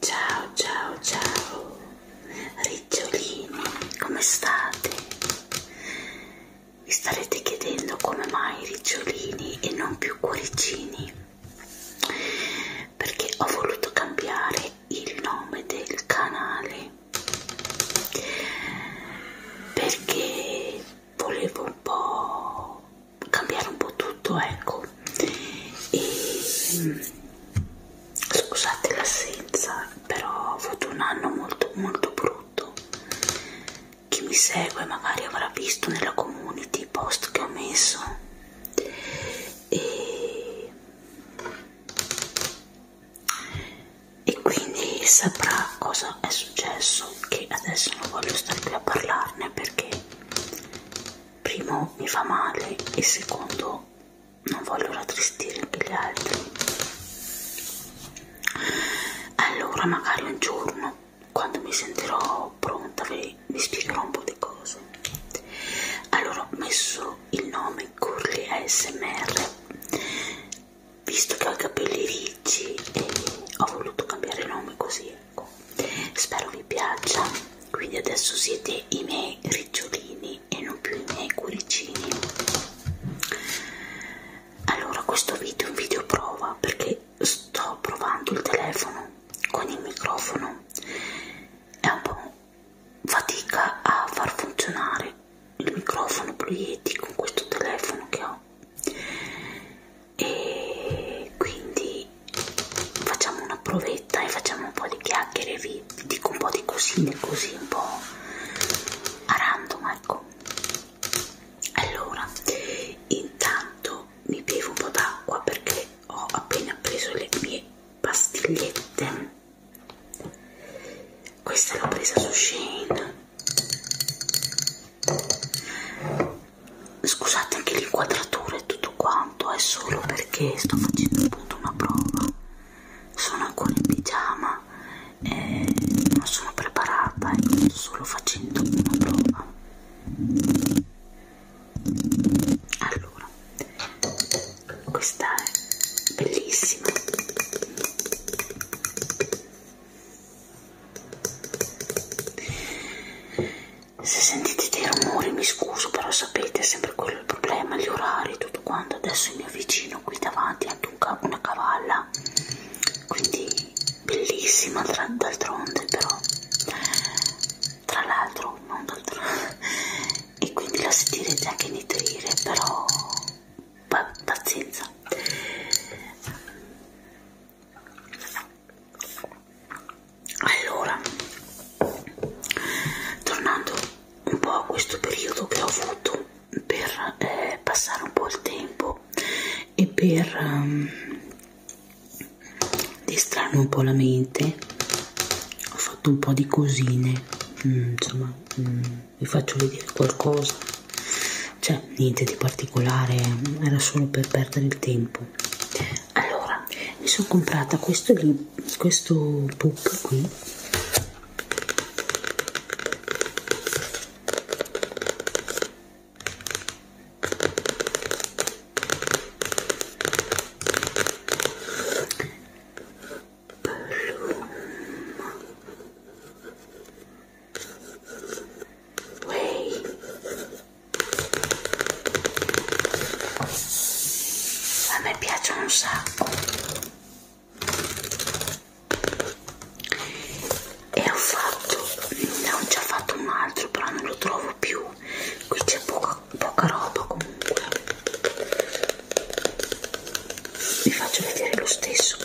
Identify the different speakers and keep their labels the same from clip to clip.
Speaker 1: Ciao ciao ciao Ricciolini, come state? Vi starete chiedendo come mai Ricciolini e non più Cuoricini? Perché ho voluto cambiare il nome del canale perché volevo un po' cambiare un po' tutto ecco e, mm, scusate l'assenza però ho avuto un anno molto molto brutto chi mi segue magari avrà visto nella community i post che ho messo e, e quindi saprà cosa è successo che adesso non voglio stare qui a parlarne perché primo mi fa male e secondo non voglio rattristire anche gli altri allora magari un giorno quando mi sentirò pronta vi, vi spiegherò un po' di cose allora ho messo il nome Curly ASMR visto che ho i capelli ricci e ho voluto cambiare nome così lungo ecco, spero vi piaccia quindi adesso siete i miei ricciolini e non più i miei cuoricini allora questo video è un video prova perché sto provando il telefono con il microfono è un po' fatica a far funzionare il microfono Pleieti con questo telefono che ho no e quindi facciamo una provetta e facciamo un po' di chiacchiere vi dico un po' di cosine così un po' a random ecco allora intanto mi bevo un po' d'acqua perché ho appena preso le mie pastigliette questa l'ho presa su Shane scusate anche l'inquadratura e tutto quanto è solo perché sto facendo appunto una prova sono ancora in pigiama e non sono preparata e sto solo facendo una prova allora questa è bellissima se sentite dei rumori mi scuso, però sapete, è sempre quello il problema, gli orari, tutto quanto. Adesso il mio vicino qui davanti ha anche un ca una cavalla, quindi bellissima d'altronde, però tra l'altro non d'altronde e quindi la sentirete anche nitrire, però pazienza allora tornando un po' a questo periodo che ho avuto per eh, passare un po' il tempo e per um, distrarmi un po' la mente ho fatto un po' di cosine mm, insomma mm, vi faccio vedere qualcosa cioè niente di particolare era solo per perdere il tempo allora mi sono comprata questo lì questo book qui Bloom Play. A me piacciono un sacco. E ho fatto, ne ho già fatto un altro, però non lo trovo più. Qui c'è poca, poca roba comunque. Vi faccio vedere lo stesso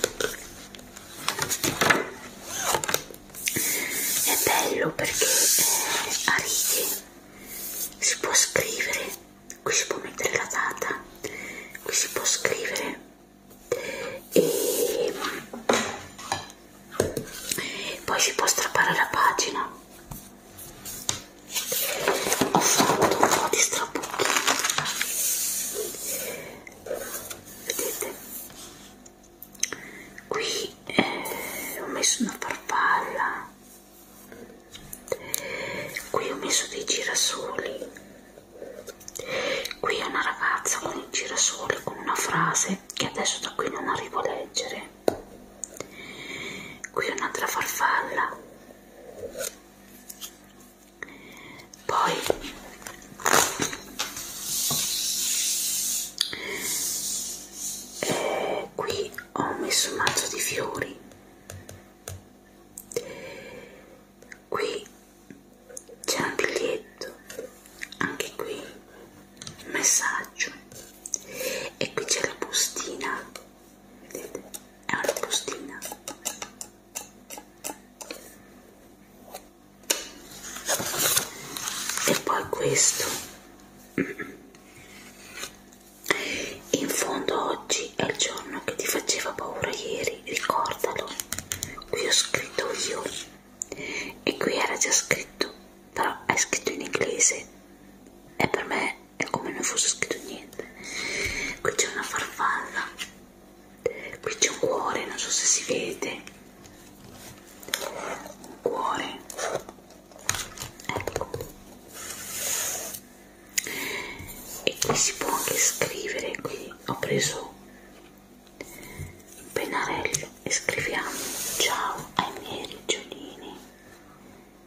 Speaker 1: è bello perché eh, a righe si può scrivere qui si può mettere la data qui si può scrivere e poi si può strappare la pagina ho fatto un po' di strabucchi vedete qui eh, ho messo una farfalla qui ho messo dei girasoli qui è una ragazza con il girasole con una frase che adesso da qui non arrivo a leggere qui un'altra farfalla poi eh, qui ho messo un mazzo di fiori qui c'è un biglietto anche qui un messaggio e qui c'è la bustina vedete è una bustina e poi questo in fondo oggi è il giorno che ti faceva paura ieri ricordalo qui ho scritto io e qui era già scritto però è scritto in inglese e per me è come non fosse scritto niente qui c'è una farfalla qui c'è un cuore non so se si vede un cuore ecco e qui si può anche scrivere qui ho preso un pennarello e scriviamo ciao ai miei rigiolini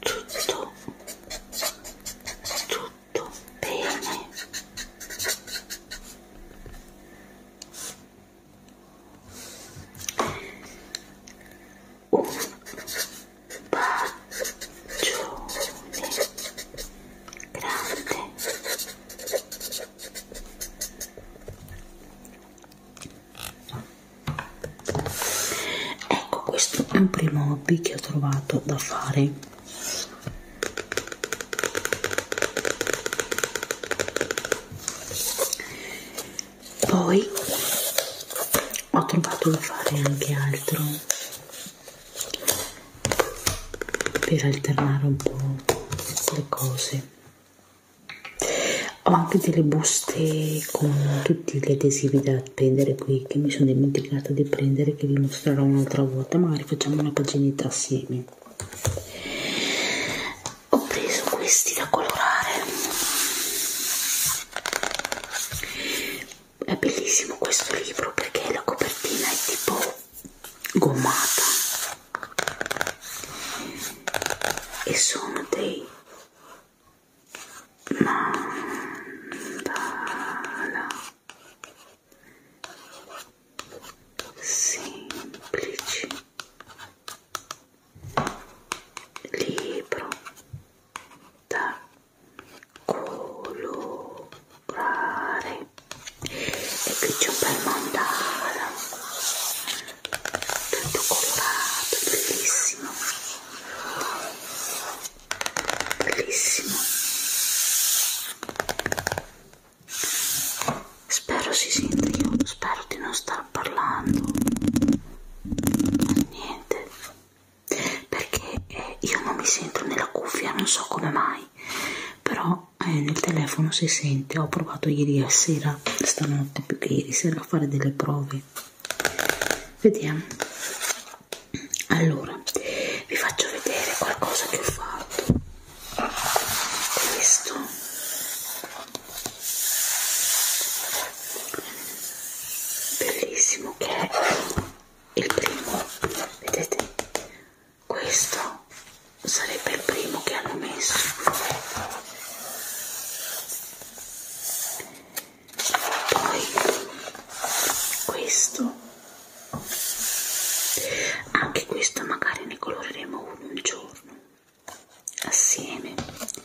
Speaker 1: tutto tutto bene un bacione grande ecco questo è un primo hobby che ho trovato da fare poi ho trovato da fare anche altro per alternare un po' le cose ho anche delle buste con tutti gli adesivi da prendere qui che mi sono dimenticata di prendere che vi mostrerò un'altra volta magari facciamo una paginetta assieme ho preso questi da colorare è bellissimo questo libro perché la copertina è tipo gommata e sono dei mandala semplici libro da colorare e qui c'è un bel mandala tutto colorato, bellissimo bellissimo spero si senta io spero di non star parlando niente perché eh, io non mi sento nella cuffia non so come mai però eh, nel telefono si sente ho provato ieri sera sera, stanotte più che ieri sera, a fare delle prove. Vediamo. Allora, vi faccio vedere qualcosa che ho fatto. Questo. Bellissimo che è il primo, vedete? Questo sarebbe il primo che hanno messo poi questo anche questo magari ne coloreremo uno un giorno assieme questo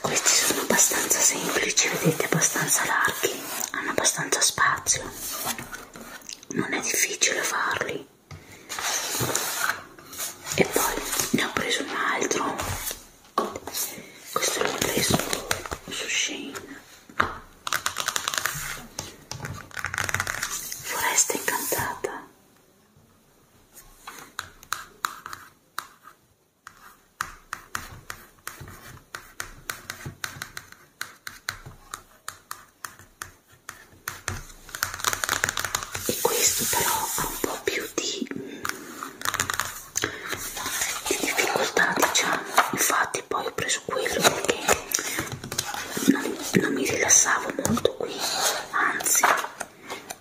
Speaker 1: questi sono abbastanza semplici vedete abbastanza larghi hanno abbastanza spazio non è difficile farli e poi ne ho preso un altro questo l'ho preso su Shane foresta incantata e questo però ha un po' più di, di difficoltà diciamo infatti poi ho preso quello perché non, non mi rilassavo molto qui anzi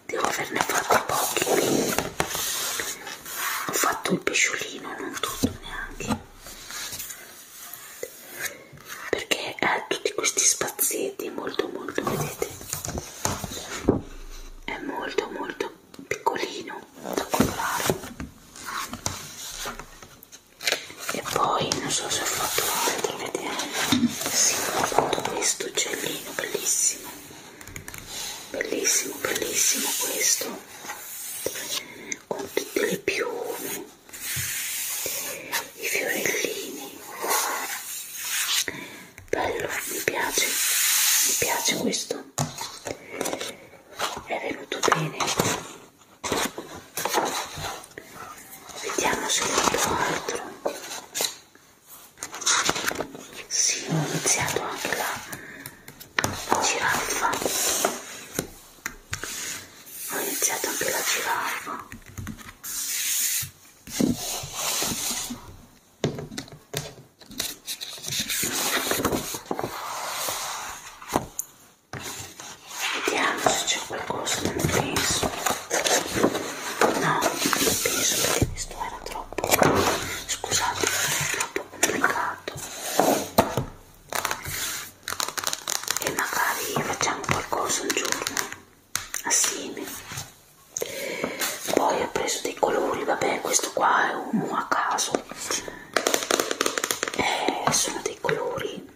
Speaker 1: devo averne fatti pochi ho fatto il pesciolino non tutto neanche perché ha eh, tutti questi spazietti molto molto vedete è molto molto piccolino da colorare e poi non so se ho fatto vedere sì ho fatto questo uccellino bellissimo bellissimo bellissimo questo con tutte le piume i fiorellini bello mi piace mi piace questo è venuto bene vediamo se ho altro si ho iniziato anche la giraffa ho iniziato anche la giraffa vediamo se c'è qualcosa non penso no non penso perché questo era troppo scusate è troppo complicato e magari facciamo qualcosa un giorno assieme poi ho preso dei colori vabbè questo qua è uno a caso eh, sono dei colori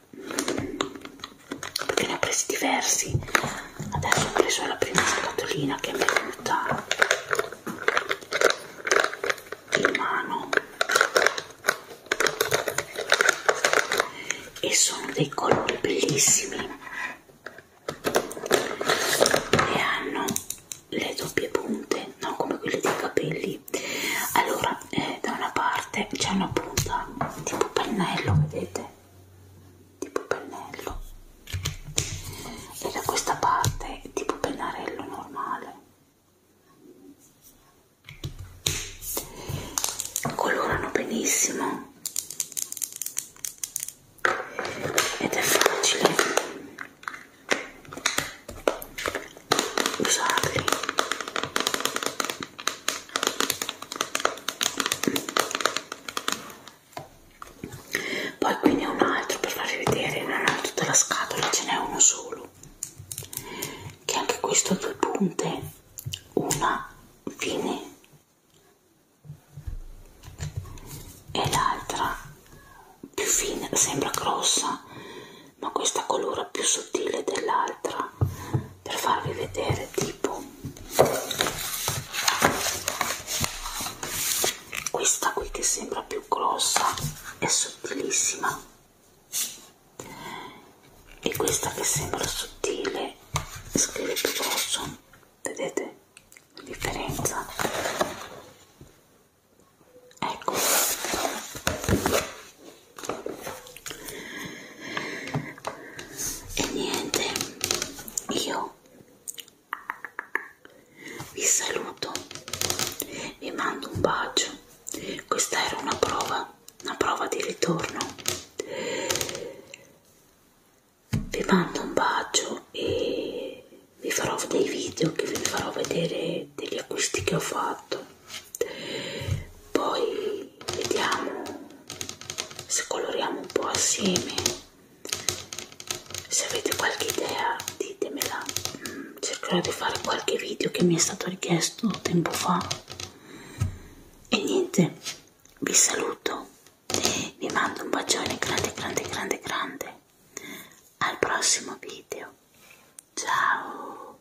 Speaker 1: perché ne ho presi diversi adesso ho preso la prima scatolina che mi è venuta in mano e sono dei colori bellissimi e hanno le doppie punte non come quelle dei capelli allora eh, da una parte c'è una punta tipo pennello vedete tipo pennello e da questa parte è tipo pennarello normale colorano benissimo ed è facile usarli poi qui ne ho un altro per farvi vedere non ho tutta la scatola ce n'è uno solo che anche questo ha due punte una fine e l'altra più fine sembra grossa ma questa colora più sottile dell'altra per farvi vedere tipo questa qui che sembra più grossa è sottilissima e questa che sembra sottile scrive più grosso vedete la differenza ecco e niente io vi saluto vi mando un bacio questa era una prova una prova di ritorno vi mando un bacio e vi farò dei video che vi farò vedere degli acquisti che ho fatto poi vediamo se coloriamo un po' assieme se avete qualche idea ditemela mm, cercherò di fare qualche video che mi è stato richiesto tempo fa e niente vi saluto vi mando un bacione grande grande grande grande al prossimo video ciao